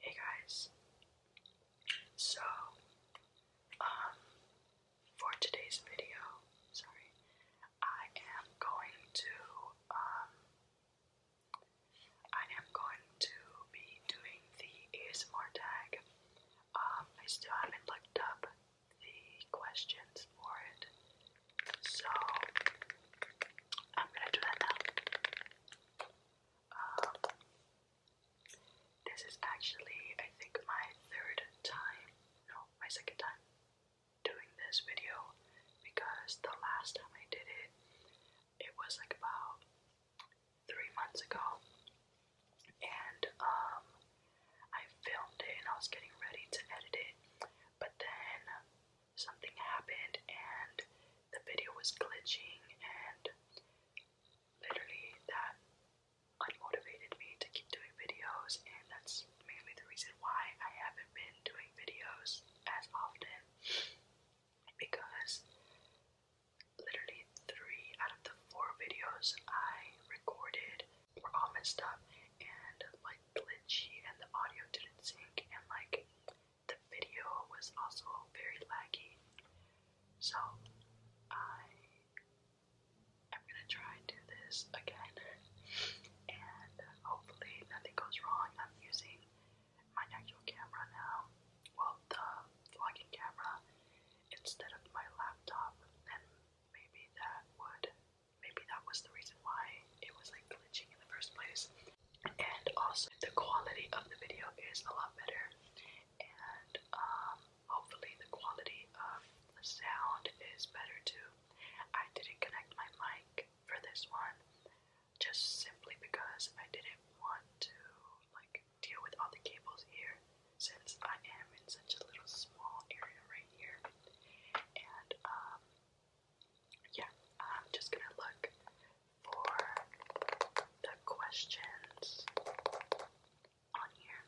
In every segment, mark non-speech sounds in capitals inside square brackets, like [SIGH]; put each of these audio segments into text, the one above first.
Hey guys, so um for today's video, sorry, I am going to um I am going to be doing the ASMR tag. Um I still haven't looked up the questions for it. So I'm gonna do that now. Um, this is actually, I think, my third time, no, my second time doing this video because the last time I did it, it was like about three months ago, and um, I filmed it and I was getting ready to edit it, but then something happened and the video was glitching, and literally that unmotivated me to keep doing videos, and that's mainly the reason why I haven't been doing videos as often because literally three out of the four videos I recorded were all messed up and like glitchy and the audio didn't sync and like the video was also very laggy. So I I'm gonna try and do this again and hopefully nothing goes wrong. I'm using my actual camera now. Well the vlogging camera instead of my laptop and maybe that would maybe that was the reason why it was like glitching in the first place. And also the quality of the video is a lot better and um hopefully the quality of the sound is better too. I didn't connect my mic for this one just simply because I didn't want to like deal with all the cables here since I am in such a little small area right here. And um yeah, I'm just gonna look for the questions on here.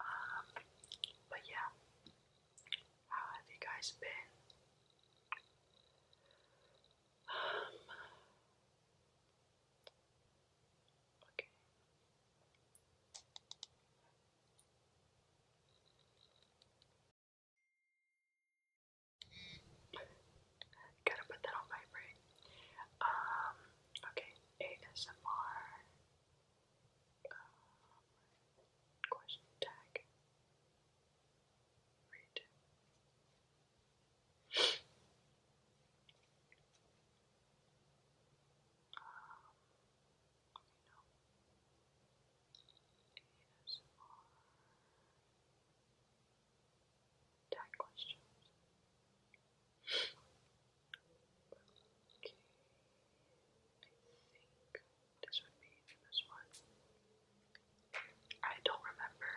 Um but yeah. How have you guys been? Um Okay. Gotta put that on vibrate. Um, okay, ASMR. Um, question tag. Read. Tag questions. okay. I think this would be this one. I don't remember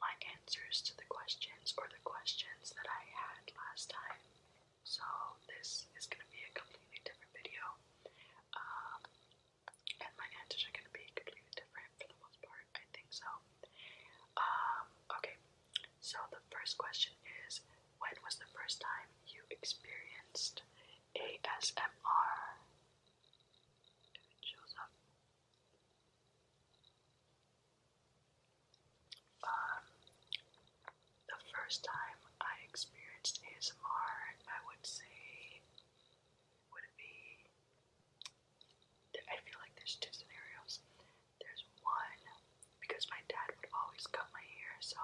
my answers to the questions or the questions that I had last time. So this is going to be a completely different video. Um, and my answers are going to be completely different for the most part. I think so. Um, okay, so the first question is When was the first time you experienced ASMR? If it shows up, the first time I experienced ASMR, I would say, would be? I feel like there's two scenarios. There's one because my dad would always cut my hair, so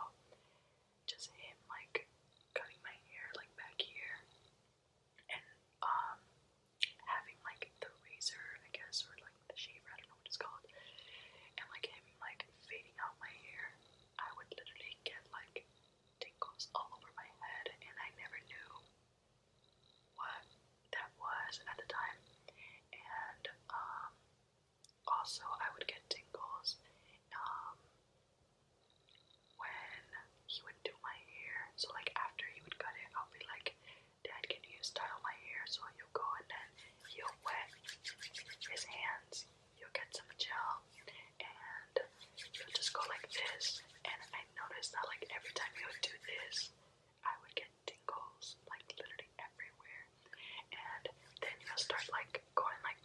just him like cutting my hair like back here, and um, having like the razor, I guess, or like the shaver, I don't know what it's called, and like him like fading out my hair, I would literally get like tingles all over my head, and I never knew what that was at the time. And um, also, I would get tingles um, when he would do my hair. So like after he would cut it, I'll be like Dad, can you style my hair so you'll go and then he'll wet his hands? You'll get some gel and you'll just go like this. And I noticed that like every time you would do this, I would get tingles like literally everywhere. And then you'll start like going like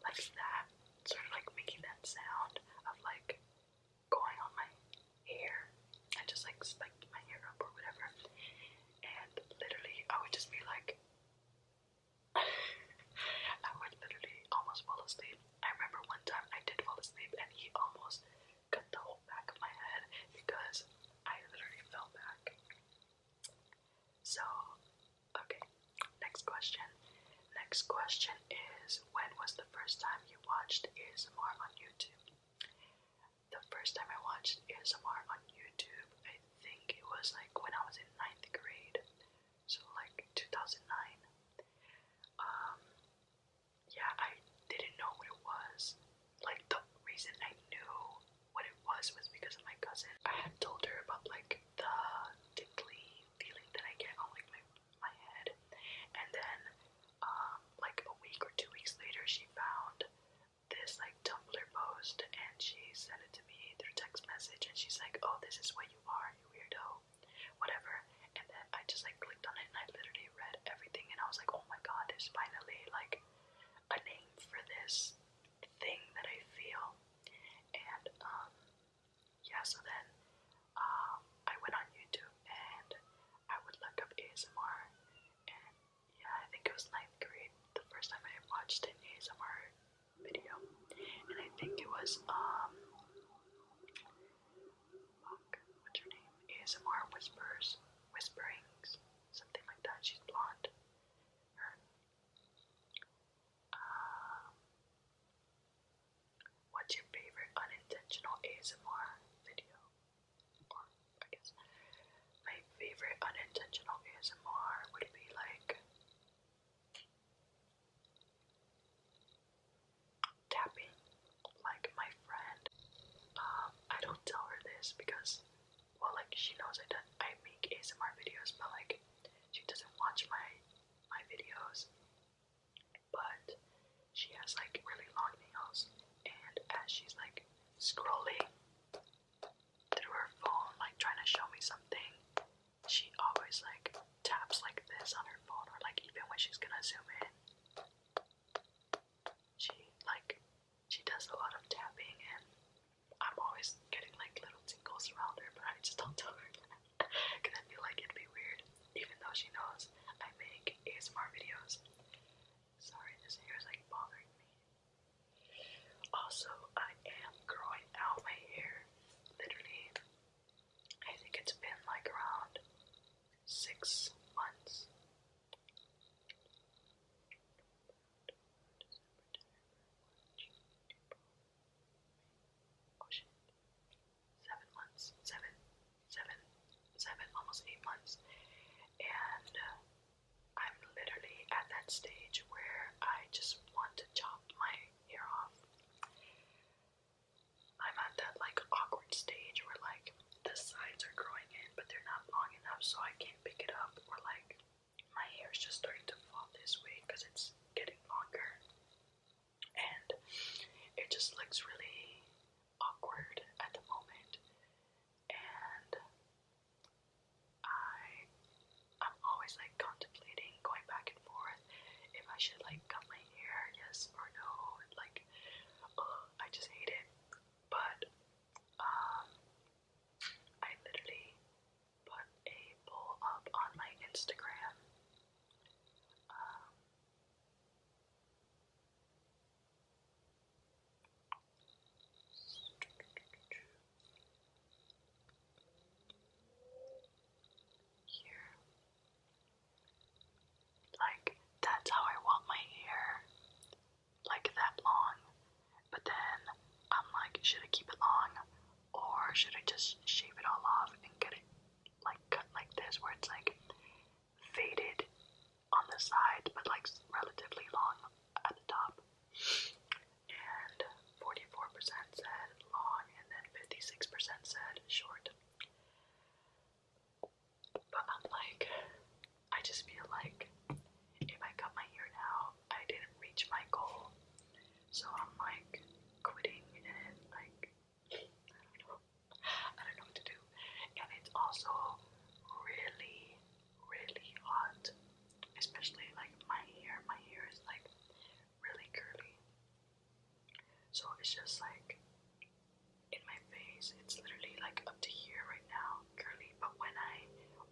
like that, sort of like making that sound of like going on my hair. I just like spiked my hair up or whatever. And literally, I would just be like, [LAUGHS] I would literally almost fall asleep. I remember one time I did fall asleep and he almost cut the whole back of my head because I literally fell back. So, okay, next question. Next question is When was the first time you watched Is More on YouTube? the first time I watched ASMR on YouTube, I think it was like when I was in ninth grade, so like 2009. Um, yeah, I didn't know what it was. Like the reason I knew what it was was because of my cousin. I had told her about like the tingly feeling that I get on like my my head, and then um, like a week or two weeks later, she found this like Tumblr post and she sent it to me through text message and she's like, Oh, this is what you are, you weirdo, whatever. And then I just like clicked on it and I literally read everything and I was like, Oh my god, there's finally like a name for this thing that I feel. And um, yeah, so then um, I went on YouTube and I would look up ASMR and yeah, I think it was ninth grade the first time I watched an ASMR video. And I think it was um fuck, what's her name? ASMR Whispers Whisperings. Something like that. She's blonde. Her um What's your favorite unintentional ASMR video? I guess my favorite unintentional ASMR would be like tapping like my friend. Um, I don't tell her this because well like she knows I don't I make ASMR videos but like she doesn't watch my my videos but she has like really long nails, and as she's like scrolling through her phone, like trying to show me something, she always like taps like this on her phone, or like even when she's gonna zoom in, she like she does a lot of tapping, and I'm always getting like little tingles around her, but I just don't tell her because [LAUGHS] I feel like it'd be weird, even though she knows I make ASMR videos. Sorry, this hair is like bothering me. Also, I am growing out my hair. Literally, I think it's been like around six months. Seven months. Seven seven, seven, almost eight months, and uh, I'm literally at that stage where I just want to chop my hair off. I'm at that like awkward stage where like the sides are growing in, but they're not long enough, so I can't pick it up, or like my hair is just starting to fall this way because it's getting longer, and it just looks really awkward at the moment, and I I'm always like contemplating going back and forth if I should like cut my yes or no. like I just hate it. But um I literally put a poll up on my Instagram. Um, here. Like, that's how I want my hair. Like, that long. But then I'm like, should I keep it long? Or should I just shave it all off and get it, like, cut like this, where it's like faded on the side, but like relatively long at the top. And 44% said long, and then 56% said short. But I'm like, I just feel like if I cut my hair now, I didn't reach my goal. So I'm like quitting and like I don't know. what to do. And it's also really, really hot. Especially like my hair. My hair is like really curly. So it's just like in my face. It's literally like up to here right now, curly. But when I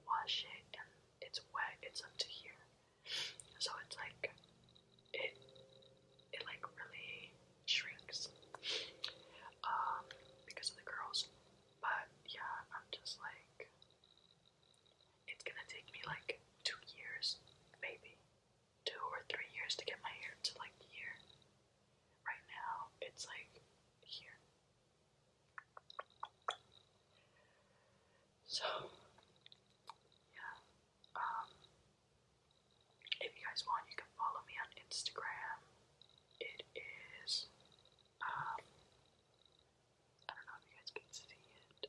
wash it and it's wet, it's up to here. So it's like it it like really shrinks um, because of the curls. But yeah, I'm just like, it's gonna take me like two years, maybe two or three years to get my hair to like here. Right now, it's like here. So, yeah, um, if you guys want, you can follow me on Instagram. It is, um, I don't know if you guys can see it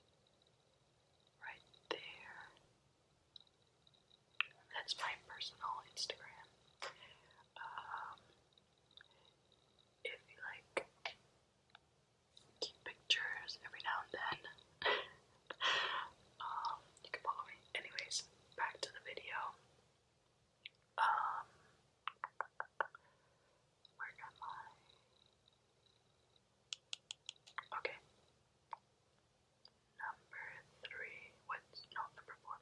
right there. That's my personal Instagram. Um, if you like cute pictures every now and then, [LAUGHS] um, you can follow me. Anyways, back to the video. Um, okay. Number three. What's no number four?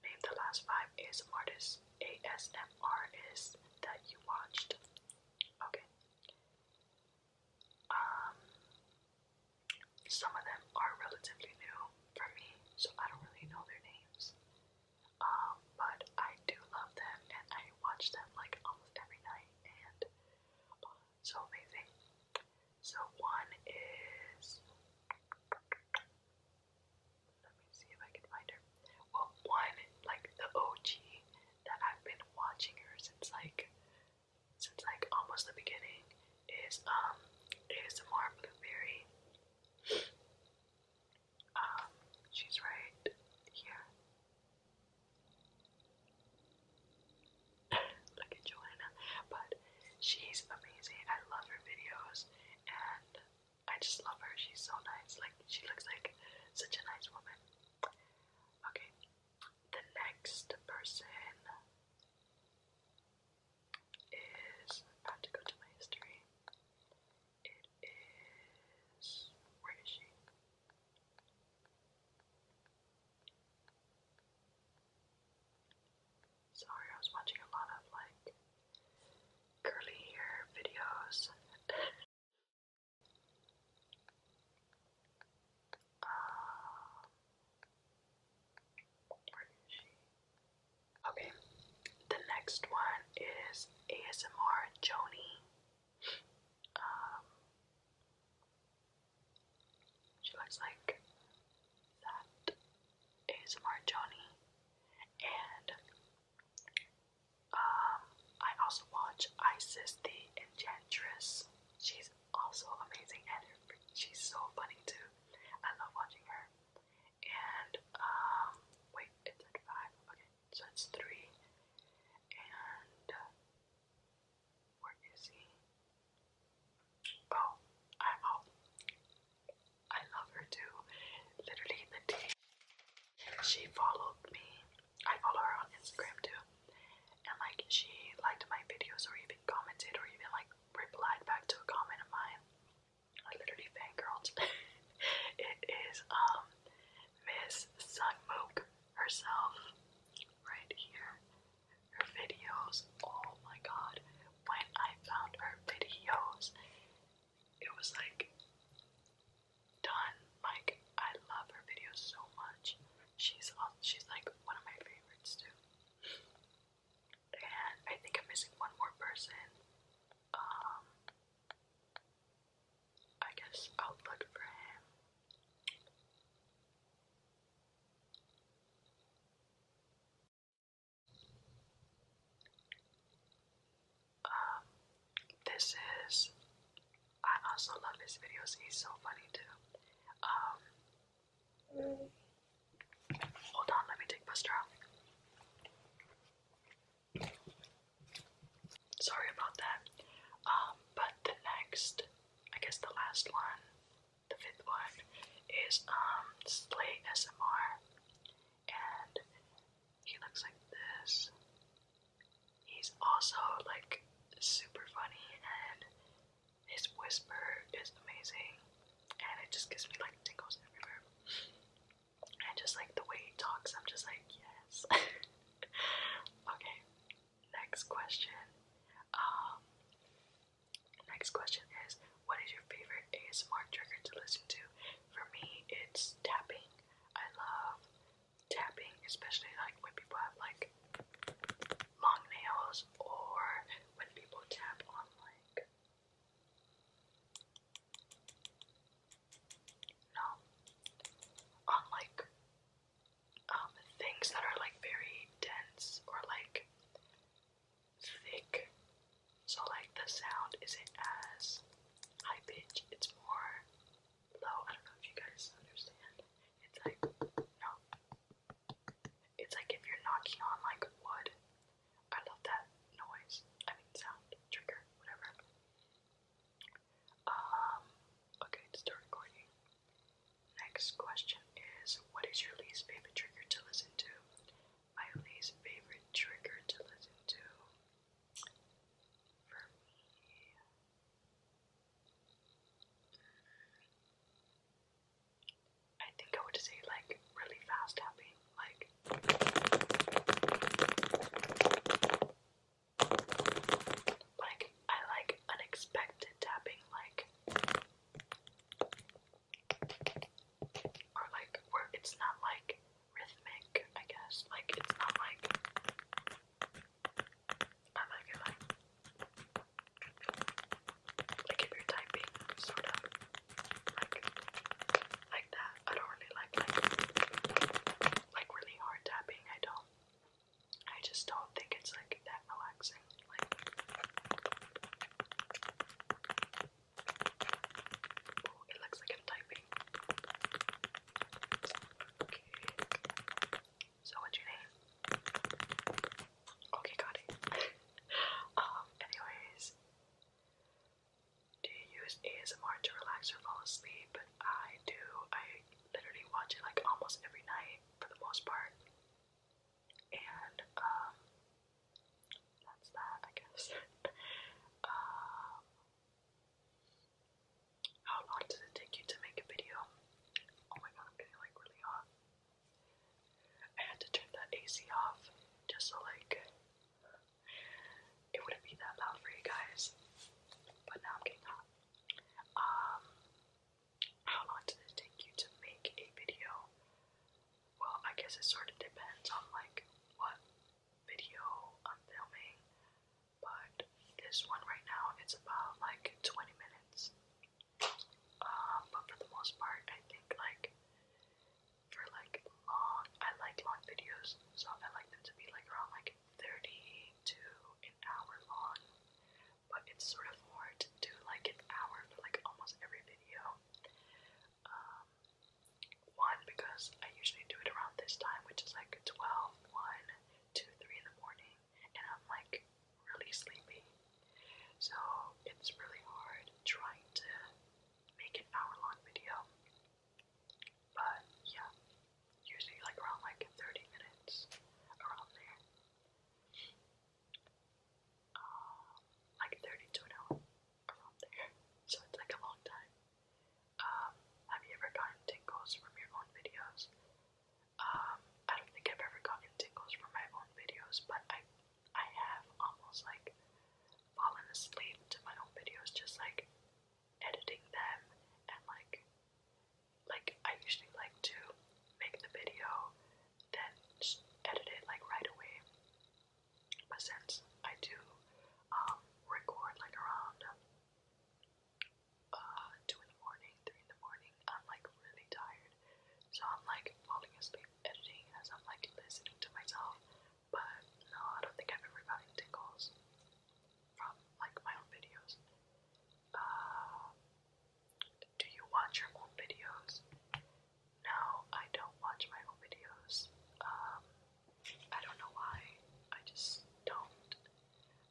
Name the last five ASMR artists, ASMR artists that you watched. Okay. Um, some of them are relatively new for me, so I don't really know their names. Um, but I do love them and I watch them like almost every night and uh, so amazing. So one is let me see if I can find her. Well one like the OG that I've been watching her since like since like almost the beginning is um ASMR Blueberry. [SNIFFS] Um, she's right here. [LAUGHS] Look Joanna. But she's amazing. I love her videos and I just love her. She's so nice. Like she looks like such a nice woman. Okay. The next person is about to go to my history. It is where is she? Sorry, I was watching a lot of like curly hair videos. um, [LAUGHS] Okay, the next one is ASMR Joni. Um, she looks like that ASMR Joni, and um, I also watch Isis the Enchantress. She's also amazing, and she's so funny too. I love watching her. And um, wait, it's at five. Okay, so that's three. And uh, where is he? Oh, I'm oh, I love her too. Literally the day she followed me, I follow her on Instagram too. And like she liked my videos or even commented or even like replied back to a comment of mine. I literally fangirled. [LAUGHS] it is um Miss Sunmook herself right here. Her videos. Oh my god. When I found her videos, it was like done. Like I love her videos so much. She's she's like one of my favorites too and I think I'm missing one more person. Um, I guess I'll look for him. Um, this is. I also love his videos. He's so funny too. Um, Hold on, let me take my straw. Sorry about that. Um, but the next, I guess the last one, the fifth one, is um Slate SMR. And he looks like this. He's also like super funny and his whisper is amazing, and it just gives me like tingles everywhere. And just like the way he talks, I'm just like, yes. [LAUGHS] okay, next question. Um, next question is, what is your favorite ASMR trigger to listen to? For me, it's tapping. I love tapping, especially like when people have like long nails or when people tap on like no on like um things that are like very dense or like thick so like the sound isn't as high pitch it's more low I don't know if you guys understand it's like no it's like if you're knocking on like wood. I love that noise. I mean sound, trigger, whatever. Um okay, start recording. Next question is what is your least favorite trigger to listen to? My least favorite trigger to listen to for me I think I would say like really fast tapping, like like I like unexpected tapping, like or like where it's not like rhythmic, I guess. Like it's not like like if you typing sort of like that. I don't really like like really hard tapping. I don't. I just don't think it's like that relaxing. Like it looks like I'm typing. So what's your name? Okay, got [LAUGHS] um, anyways. Do you use ASMR to relax or fall asleep? I do. I literally watch it like almost every night for the most part. And um that's that I guess. [LAUGHS] um how long does it take you to make a video? Oh my god, I'm getting like really hot. I had to turn that AC off just so like it wouldn't be that loud for you guys. But now I'm getting hot. Um how long did it take you to make a video? Well, I guess it sort of depends on like what video I'm filming, but this one right now it's about like 20 minutes. Um, but for the most part, I think like for like long, I like long videos, so I like them to be like around like 30 to an hour long. But it's sort of hard to do like an hour for like almost every video. Um, one because I usually do it around this time, which is like 12, 1, 2, 3 in the morning and I'm like really sleepy. So it's really hard trying to make an hour long video. But yeah, usually like around like 30 minutes, around there. Um, like 30 to an hour, around there. So it's like a long time. Um, have you ever gotten tingles from your own videos? Um, I don't think I've ever gotten tingles from my own videos, but I I have almost like fallen asleep to my own videos, just like editing them and like like I usually like to make the video then edit it like right away. But since I do um record like around uh two in the morning, three in the morning, I'm like really tired. So I'm like falling asleep editing as I'm like listening to myself. But no, I don't think I've ever gotten tickles from like my own videos. Uh, do you watch your own videos? No, I don't watch my own videos. Um, I don't know why. I just don't.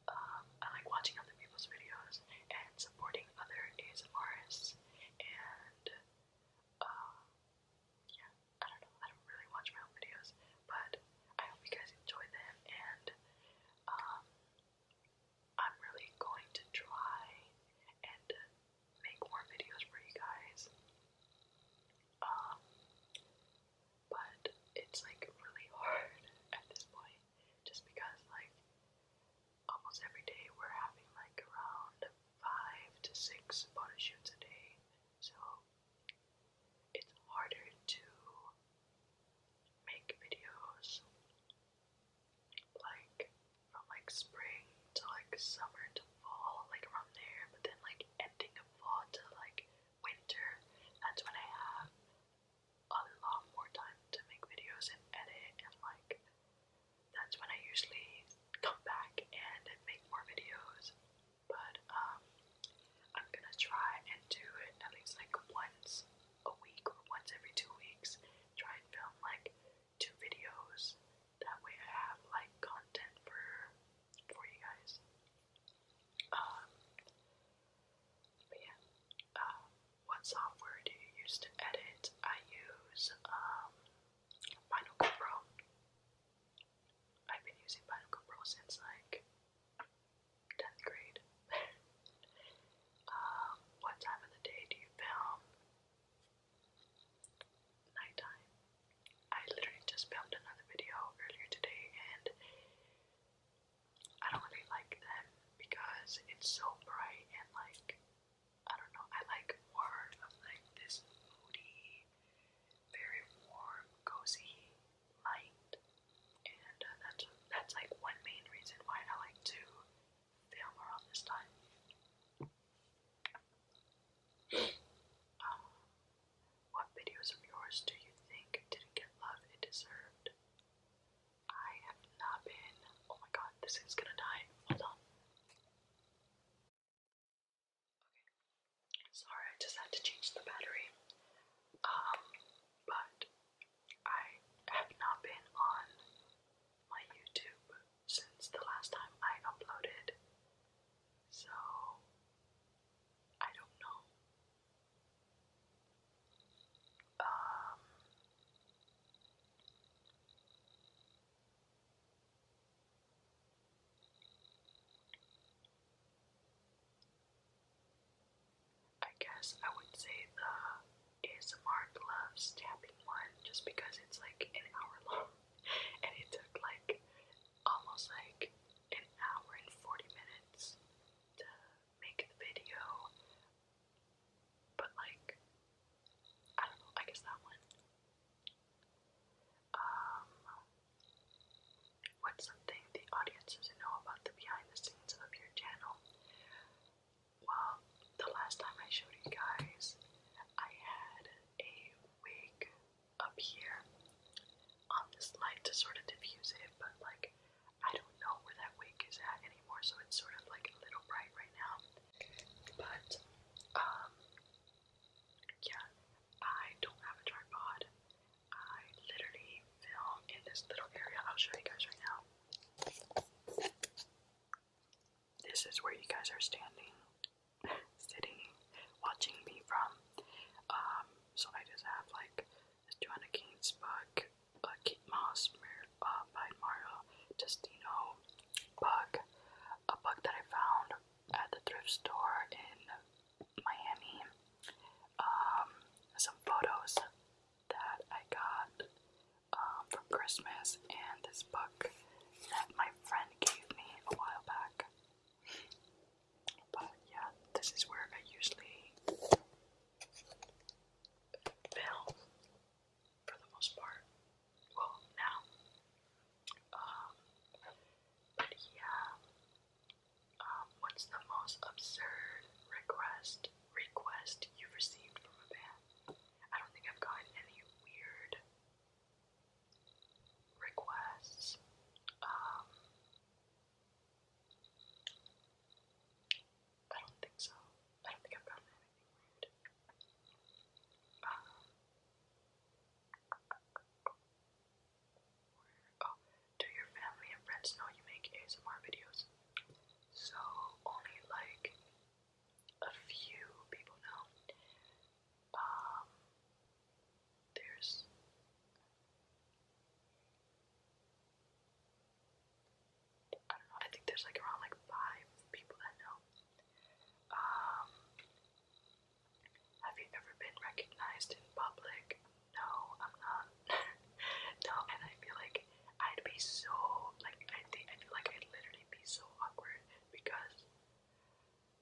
Um, I like watching other people's videos and supporting supporting other ASMRs and um, yeah, I don't know, I don't really watch my own videos, but I hope you guys enjoy them and um, I'm really going to try and make more videos for you guys. Um, but it's like really [LAUGHS] hard at this point just because like almost every day we're having like around five to six photo shoots a day, so it's harder to make videos like from like spring to like summer to fall, like around there, but then like ending of fall to like winter, that's when I have a lot more time to make videos and edit and like that's when I usually come back and make more videos. But um I'm gonna try and do at least like once a week or once every two weeks. Try and film like two videos. That way I have like content for for you guys. Um but yeah. Um, what software do you use to edit? I use um, Final Cut Pro. I've been using Final Cut Pro since like 10th grade. [LAUGHS] um, what time of the day do you film? Nighttime. I literally just filmed another video earlier today and I don't really like them because it's so bright and like I don't know, I like more of like this moody, very warm, cozy light. And uh, that's that's like one main reason why I like to film around this time. Um, what videos of yours do you think didn't get love it deserved? I have not been. Oh my god, this is gonna die. Hold on. Sorry, I just had to change the battery. Um, but I have not been on my YouTube since the last time I uploaded. So I don't know. Um, I guess I would say the is Mark Love's tapping one just because it's like an hour long [LAUGHS] and it took like almost like an hour and 40 minutes to make the video. But like, I don't know, I guess that one. Um, what's something the audience doesn't know about the behind the scenes of your channel? Well, the last time I showed you guys, I had a wig up here on um, this light to sort of diffuse it, but like I don't know where that wig is at anymore, so it's sort of like a little bright right now. But, um, yeah, I don't have a tripod. I literally film in this little area. I'll show you guys right now. This is where you guys are standing, [LAUGHS] sitting, watching me from. Um, so I just have like this Joanna Keynes book, uh, Kate Moss, uh, by Mario Testino bug, a bug that I found at the thrift store in Miami. Um, some photos that I got um, from Christmas, and this book that my friend gave me a while back. But yeah, this is where I usually film for the most part. Well, now. Um, but yeah. Um, what's the most absurd request request you've received from a band? I don't think I've gotten any weird requests. Um, I don't think so. I don't think I've gotten anything um, oh, do your family and friends know you make ASMR videos? So only like a few people know. Um, there's I don't know, I think there's like around like five people that know. Um have you ever been recognized in public? No, I'm not. [LAUGHS] no, and I feel like I'd be so like I think I feel like I'd literally be so awkward because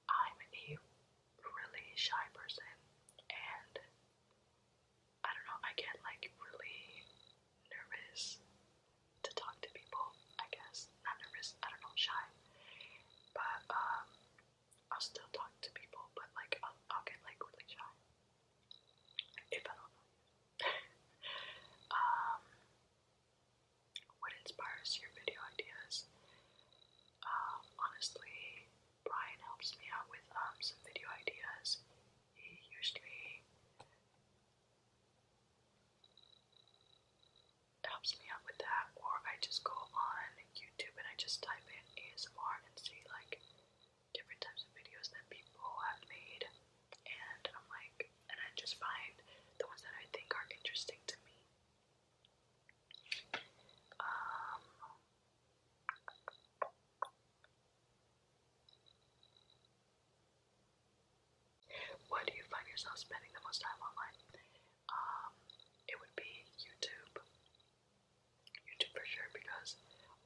I'm a really shy person and I don't know, I get like really nervous to talk to people, I guess. Not nervous, I don't know, shy. But um I'll still talk to people, but like I'll, I'll get like really shy. If I don't know [LAUGHS] um what inspires your video ideas? Um, honestly, Brian helps me out with um some video ideas. He usually it helps me out with that, or I just go on YouTube and I just type in ASMR and see like different types of videos that people have made, and I'm like, and I just find the ones that I think are interesting to me. Um, where do you find yourself spending the most time online? Um, it would be YouTube. YouTube for sure, because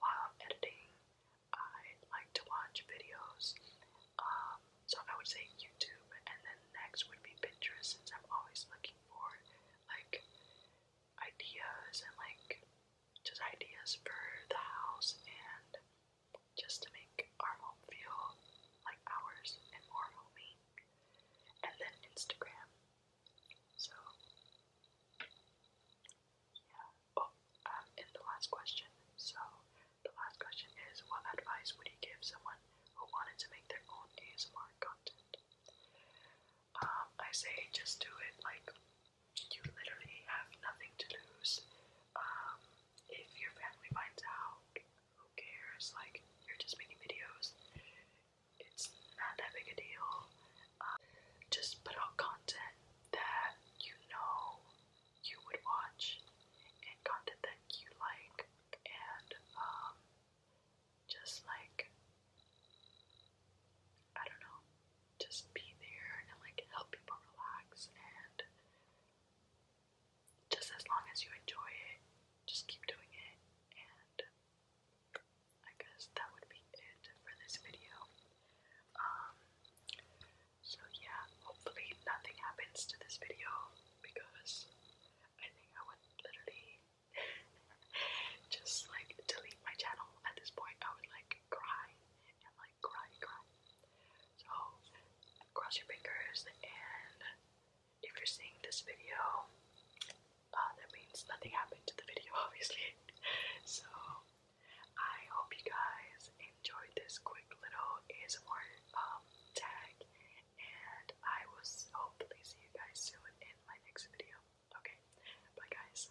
while I'm editing, I like to watch videos. Um, so I would say YouTube, and then next would be Pinterest, since I'm always looking for like ideas and like just ideas for the house and just to make our home feel like ours and more homey. And then Instagram. So, yeah. Oh, um, the last question. So, the last question is what advice would you give someone who wanted to make their own ASMR content? Um, I say just do it like you literally have nothing to lose. Um, if your family finds out, who cares? Like, you're just making videos. It's not that big a deal. Um, just put out content that you know you would watch and content that you like and um, just like I don't know, just be there and like help people relax and just as long as you enjoy it, just keep doing it and I guess that would be it for this video. Um so yeah, hopefully nothing happens to this video because I think I would literally [LAUGHS] just like delete my channel at this point. I would like cry and like cry, cry. So cross your fingers, and if you're seeing this video, uh, that means nothing happened to the video, [LAUGHS] obviously. so I hope you guys enjoyed this quick little ASMR um, tag, and I will hopefully see you guys soon in my next video. Okay, bye guys.